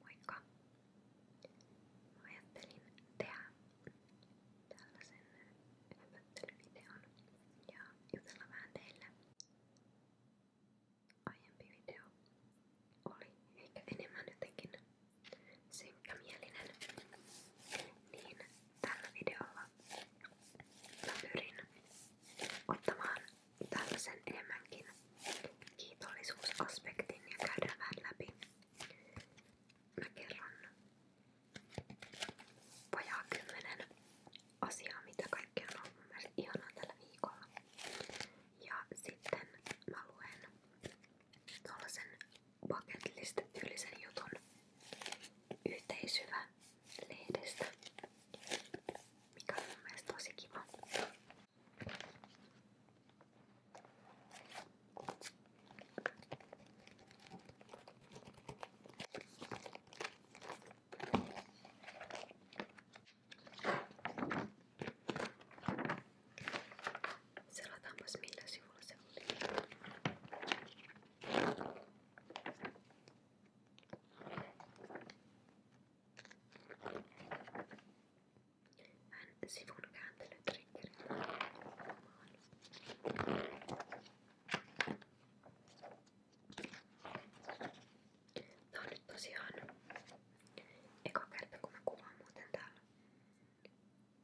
Moikka! Mä ajattelin tehdä tällaisen hypättelyvideon ja jutella vähän teille. Aiempi video oli ehkä enemmän jotenkin synkkämielinen, niin tällä videolla mä pyrin ottamaan tällaisen enemmänkin kiitollisuusaspektin ja käydään vähän läpi. Mä kerron vajaa kymmenen asiaa, mitä kaikki on ollut mun mielestä ihanaa tällä viikolla. Ja sitten mä luen tuollaisen bucket list tyylisen jutun yhteisyvä lehdestä, mikä on mun mielestä tosi kiva. Selataanpas millä sivulla se oli. Hän sivun kääntelytriggerillä Tää on nyt tosiaan eka kerta kun mä kuvaan muuten täällä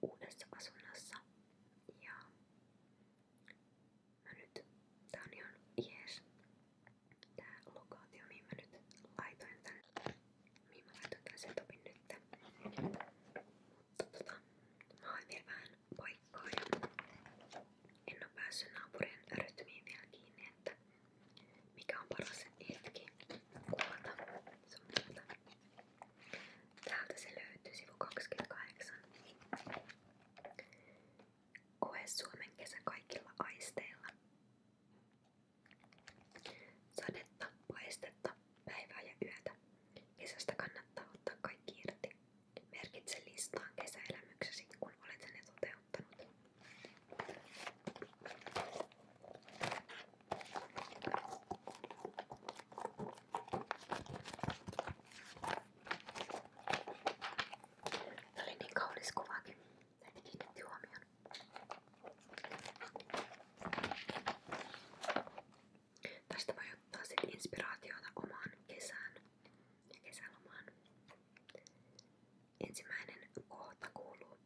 uudessa asunnossa ja mä nyt tää on ihan jees tää lokaatio, mihin mä nyt laitoin tän, mihin mä laitoin tän setupin nyt. Mutta tota, mä oon vielä vähän poikkoa ja en oo päässyt naapurien rytmiin vielä kiinni, että mikä on paras hetki kuvata sun muuta. Täältä se löytyy sivu 28. Koe Suomen kesä kaikilla aisteilla. Sadetta, paistetta, päivää ja yötä. Kesästä kannattaa ottaa kaikki irti. Merkitse listaan kesäelämyksesi, kun olet ne toteuttanut. Se oli niin kaunis kuvakin. Näitä kiinnitti huomioon. Tästä voi ottaa sit inspiraatiota omaan kesään ja kesälomaan. Ensimmäinen kohta kuuluu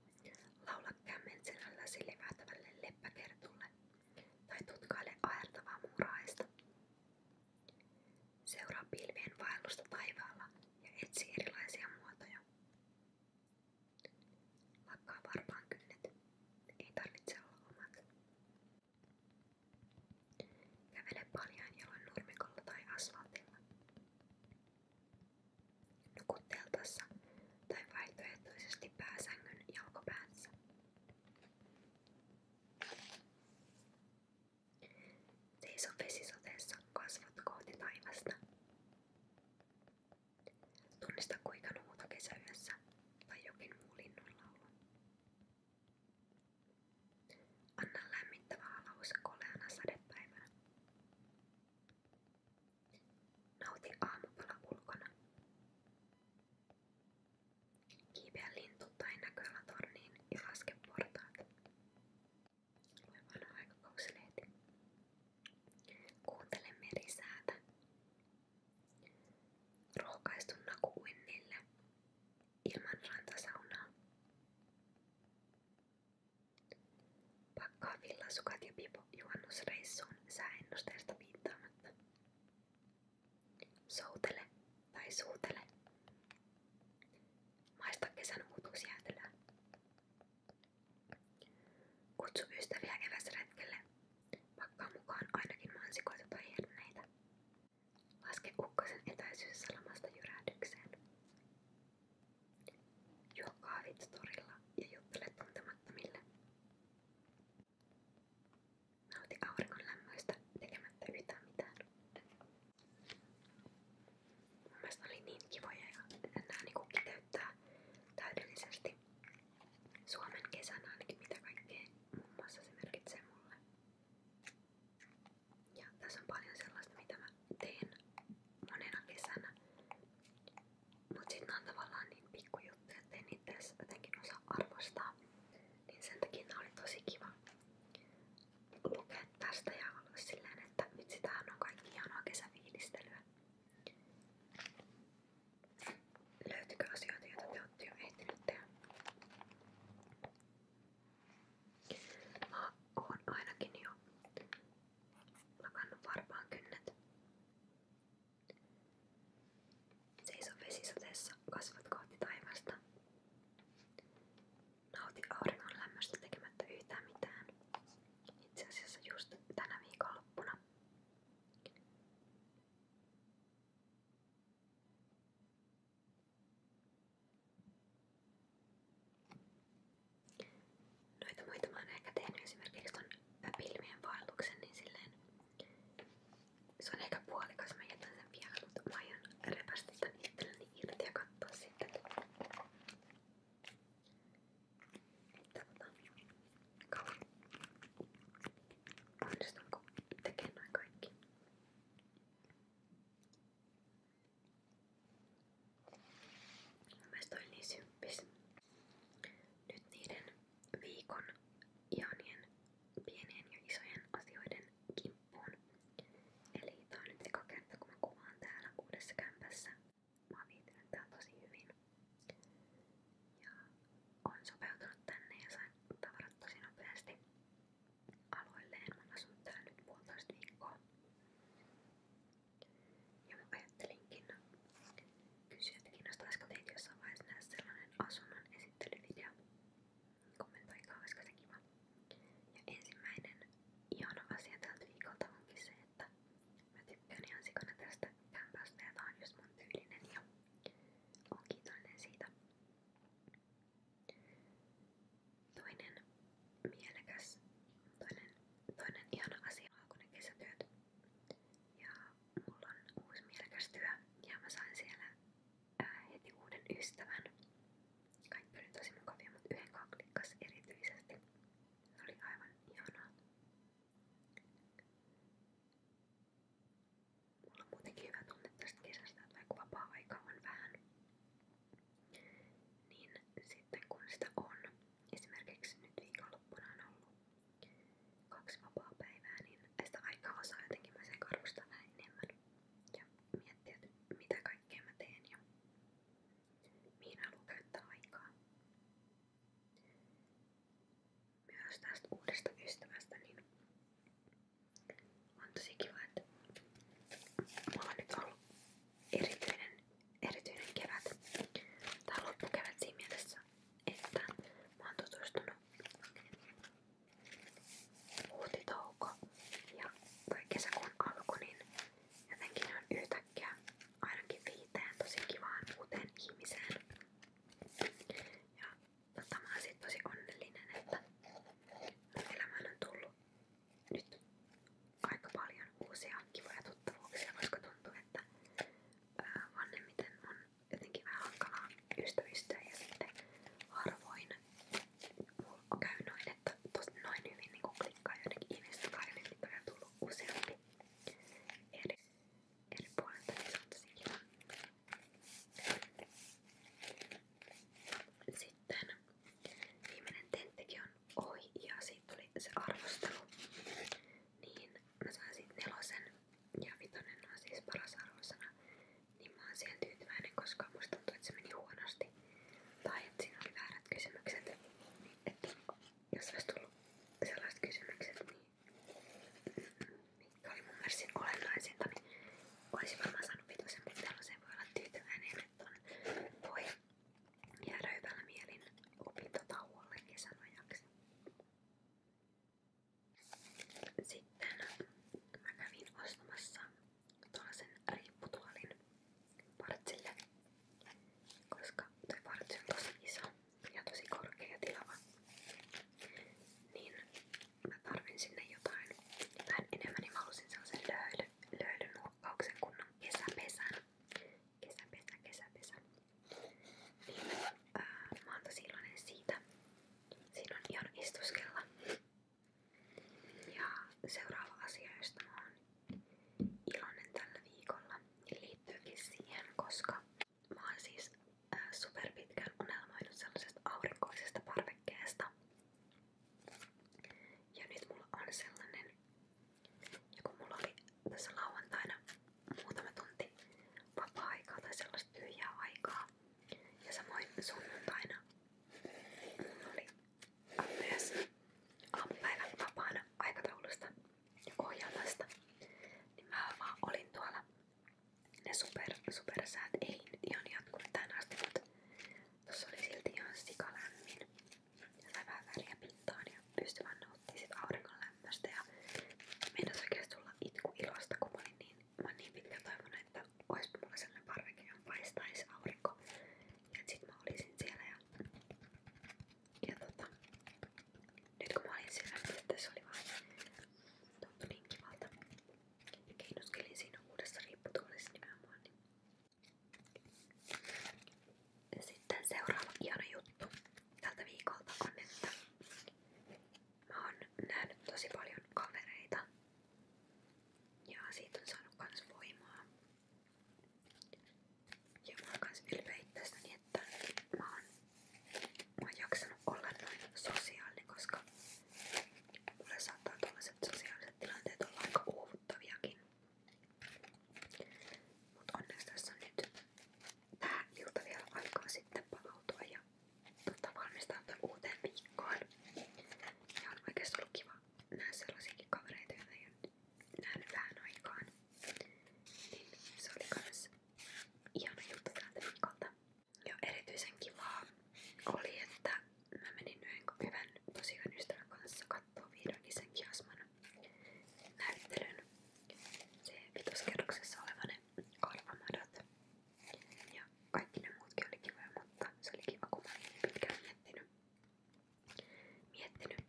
Laula kämmen selälläsi levätävälle leppäkertulle tai tutkaile aertavaa muuraista. Seuraa pilvien vaellusta taivaalla ja etsi erilaisia muotoja. Lakkaa varmaan kynnet. Ei tarvitse olla omat. Kävele paljain jaloin nurmikolla tai asfaltilla. Nuku teltassa tai vaihtoehtoisesti pääsängyn jalkopäässä. Seiso vesisateessa kasvat kohti taivasta. Tunnista kuinka nuuta kesäyössä tai jokin muu linnunlaulu. Anna lämmittävä alaus koleana sadepäivänä. Nauti aamupala ulkona. Kiipeä lintu tai näköalatorniin ja laske portaat. Tulee vanha aikakausleiti. Kuuntele merisäätä. Rohkaistu naku uinnille. Ilman rantasaunaa. Pakkaa villasukat ja pipo juhannusreissuun sääennusteesta piittaamatta. Soutele tai suutele. Maista kesän uutuusjäätelöä. Kutsu ystäviä eväsretkelle. Pakkaa mukaan ainakin mansikoita tai herneitä. Laske ukkosen etäisyys salamasta jyrähdykseen. Juo kahvit torilla ja juttele tuntemattomille. Nauti auringon lämmöistä tekemättä yhtään mitään. Mun mielestä oli niin kivoja ja nää niinku kiteyttää täydellisesti Suomen kesän ainakin mitä kaikkea muun muassa se merkitsee mulle. Ja tässä on paljon sellaista mitä mä teen monena kesänä. Mut sit on tavallaan niin pikkujuttuja, ettei niitä edes jotenkin osaa arvostaa. Niin sen takia tää oli tosi kiva lukea tästä ja olla silleen, että vitsi tämähän on kaikki ihanaa kesäfiilistelyä. Löytyykö asioita, joita te olette jo ehtineet tehdä? Mä oon ainakin jo lakannut varpaan kynnet. Seiso vesisateessa, kasvat kohti taivasta. Nauti auringon lämmöstä tekemättä yhtään mitään. Itse asiassa just tänä viikonloppuna. Noita muita mä oon ehkä tehnyt esimerkiksi ton pilvien vaelluksen, niin silleen se on ehkä puolikas, mä jätän sen vielä, mutta mä aion repästä tän itselleni irti ja katsoa sitten. Katsotaan. Kauan. Onnistunko tekemään noin kaikki? Mun mielestä oli niin symppis. Nyt niiden viikon ihanien pienien ja isojen asioiden kimppuun. Eli tää on nyt eka kerta kun mä kuvaan täällä uudessa kämpässä. Mä oon viihtynyt täällä tosi hyvin. Ja oon sopeutunut tänne ja sain tavarat tosi nopeasti aloilleen. Mä oon asunut täällä nyt puolitoista viikkoa. Ja mä ajattelinkin kysyä, että kiinnostaisiko teitä jossain vaiheessa nähdä sellainen asunnon esittelyvideo kommentoikaa, olisiko se kiva. Ja ensimmäinen ihana asia tältä viikolta onkin se, että mä tykkään ihan sikana tästä kämpästä ja tää on just mun tyylinen ja oon kiitollinen siitä. Toinen mielekäs, toinen, toinen ihana asia on ne kesätyöt. Ja mulla on uusi mielekäs työ ja mä sain siellä ää, heti uuden ystävän. Kaikki oli tosi mukavia, mutta yhden kaklikkas erityisesti. Se oli aivan ihanaa. Mulla on muutenkin hyvä tunne tästä kesästä, että vaikka vapaa-aikaa on vähän, niin sitten kun sitä on, esimerkiksi nyt viikonloppuna on ollut kaksi vapaa-päivää, niin sitä aikaa osaa jotenkin mä sen arvostaa vähän enemmän ja miettiä, mitä kaikkea mä teen ja mihin haluan käyttää aikaa. Myös tästä uudesta ystävästä niin on tosi kiva, että mulla on nyt ollut erityinen, erityinen kevät tai loppukevät siinä mielessä, että mä oon tutustunut huhtitouko ja tai kesäkuun alku, niin jotenkin ne on yhtäkkiä ainakin viiteen tosi kivaan uuteen ihmiseen. Ja tota, mä oon siitä tosi onnellinen, että mun elämään on tullut nyt aika paljon uusia kivoja tuttavuuksia, koska tuntuu, että ää, vanhemmiten on jotenkin vähän hankalaa ystävistä ja sitten harvoin mulla on käy noin, että tosta noin hyvin niin klikkaa jonnekin ihmistä kaivin, mitä on tullut useampi eri, eri puolilta, niin se on tosi kiva. Sitten viimeinen tenttikin on ohi ja siitä tuli se arvostelu. Niin mä sain siitä nelosen ja vitonen on siis paras arvosana, niin mä oon siihen tyytyväinen, koska musta tuntuu, että se meni huonosti. Tai että siinä oli väärät kysymykset. Että jos olisi tullut sellaiset kysymykset, niin mitkä oli mun mielestä olennaisinta, niin olisi varmaan saanut vitosen, mutta tällaiseen voi olla tyytyväinen, että on, voi jäädä hyvällä mielin opintotauolle kesän ajaksi. Sitten mä kävin ostamassa tuollaisen riipputuolin partsille, koska tuo partsi on tosi iso ja tosi korkea ja tilava. Niin mä tarvin sinne jotain, jotain enemmän, niin mä halusin sellaisen löyly, löylynuokkauksen kunnon kesäpesän. Kesäpesä, kesäpesä. Niin, ää, mä oon tosi iloinen siitä, Siinä on ihan istuskella. Ja seuraava asia, josta mä oon iloinen tällä viikolla, liittyykin siihen, koska mä oon siis äh, superpitkään unelmoinut sellaisesta aurinkoisesta parvekkeesta. Ja nyt mulla on sellainen, ja kun mulla oli tässä lauantaina muutama tunti vapaa-aikaa tai sellaista tyhjää aikaa. Ja samoin sunnuntaina mulla oli myös aamupäivän vapaana aikataulusta ja ohjelmasta. Niin mä vaan olin tuolla. Ne super, supersäät ei nyt ihan jatkunut tähän asti, mutta tossa oli silti ihan sikalämmin. Ja sai vähän väriä pintaan ja pystyi vaan nauttimaan sit auringon lämmöstä. Ja meinas oikeesti tulla itku ilosta, kun mä olin niin niin mä oon niin pitkä toivonut, että oispa mulla sellainen parveke, johon paistaisi aurinko. Ja sit mä olisin siellä ja, ja tota, nyt kun mä olin siellä, niin että se oli vaan tuntui niin kivalta. Keinuskelin siinä uudessa riipputuolissa nimenomaan. Niin. Sitten seuraava hieno juttu tältä viikolta on, että mä oon nähnyt tosi paljon kavereita ja siitä on saanut kans voimaa. Ja mä oon kans ylpeä itsestäni, että mä oon, mä oon jaksanut olla noin sosiaalinen, koska mulle saattaa tällaiset sosiaaliset tilanteet olla aika uuvuttaviakin. Mut onneksi tässä on nyt tää ilta vielä aikaa sitten palautua ja tota, valmistautua Ja on oikeesti ollut kiva nähdä sellaisiakin vähän aikaan. Niin se oli kans ihana Ja erityisen kivaa oli, että mä menin yhden hyvän tosi hyvän ystävän kanssa kattoo vihdoinkin sen kiasman näyttelyn. Se vitoskerroksessa olevan kahvamadat. Ja kaikki ne muutkin oli kivoja, mutta se oli kiva, kun mä olin pitkään miettinyt, miettinyt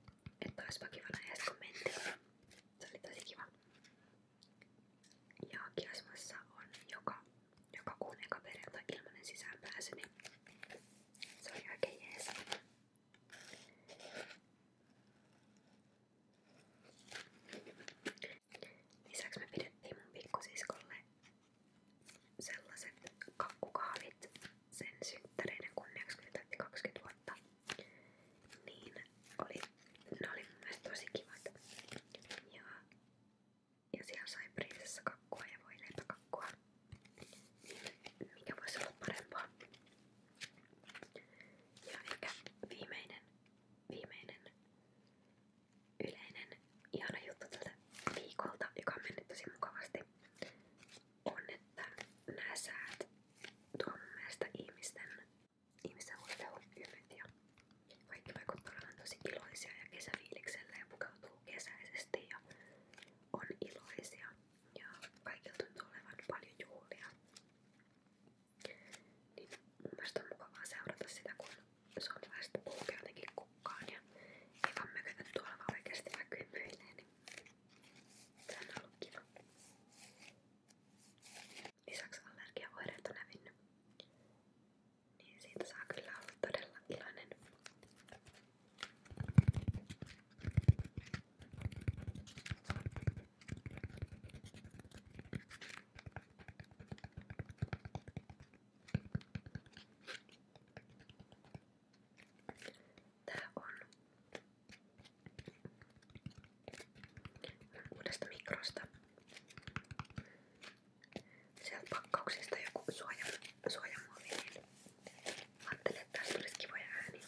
että olisipa kivana edes kun mentiin. Se oli tosi kiva. Ja Kiasmassa on joka, joka kuun eka perjantai ilmanen sisäänpääsy, niin se oli oikein jees. Lisäksi me pidettiin mun pikkusiskolle sellaiset kakkukahvit sen synttäreiden kunniaksi, kun täytti 20 vuotta. Niin oli, ne oli mun mielestä tosi kivat. Ja, ja siellä sai prinsessa kakkua ja voi leipäkakkua. Niin mikä voisi olla parempaa. Ja ehkä viimeinen viimeinen yleinen ihana juttu tältä viikolta, joka on mennyt tosi mukavasti, on, että nämä säät tuo mun mielestä ihmisten, ihmisten huolehun ymmät ja kaikki vaikuttaa olevan tosi iloisia ja kesäfiiliksellä ja pukeutuu kesäisesti ja on iloisia ja kaikilla tuntuu olevan paljon juhlia. Niin mun mielestä on mukavaa seurata sitä, kun suomalaiset puhuvat jotenkin kukkaan ja ei vaan mökötä tuolla vaan oikeasti vaikka hymyilee, niin se on ollut kiva. Lisäksi allergiaoireet on hävinnyt. Niin siitä saa kyllä olla todella iloinen. Tää on uudesta mikrosta. Sieltä pakkauksesta joku suoja, suojamuovi, niin ajattelin, että tästä olisi kivoja ääniä.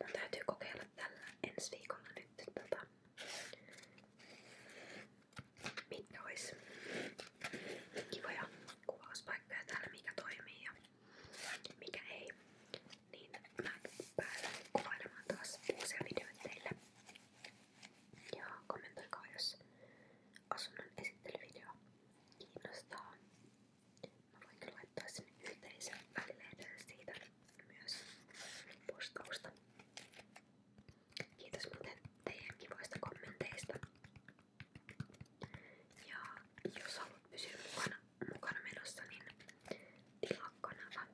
Mun täytyy kokeilla tällä ensi viikolla nyt tota, mitkä ois kivoja kuvauspaikkoja täällä, mikä toimii ja mikä ei. Niin mä päätän kuvailemaan taas uusia videoita teille. Ja kommentoikaa jos asunnon esittelyvideo kiinnostaa. Mä voinkin laittaa sinne yhteisön välilehdelle siitä myös postausta. Kiitos muuten teidän kivoista kommenteista. Ja jos haluat pysyä mukana, mukana menossa, niin tilaa kanava.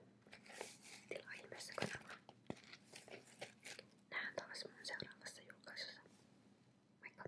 Tilaa ihmeessä kanava. Nähdään taas mun seuraavassa julkaisussa. Moikka!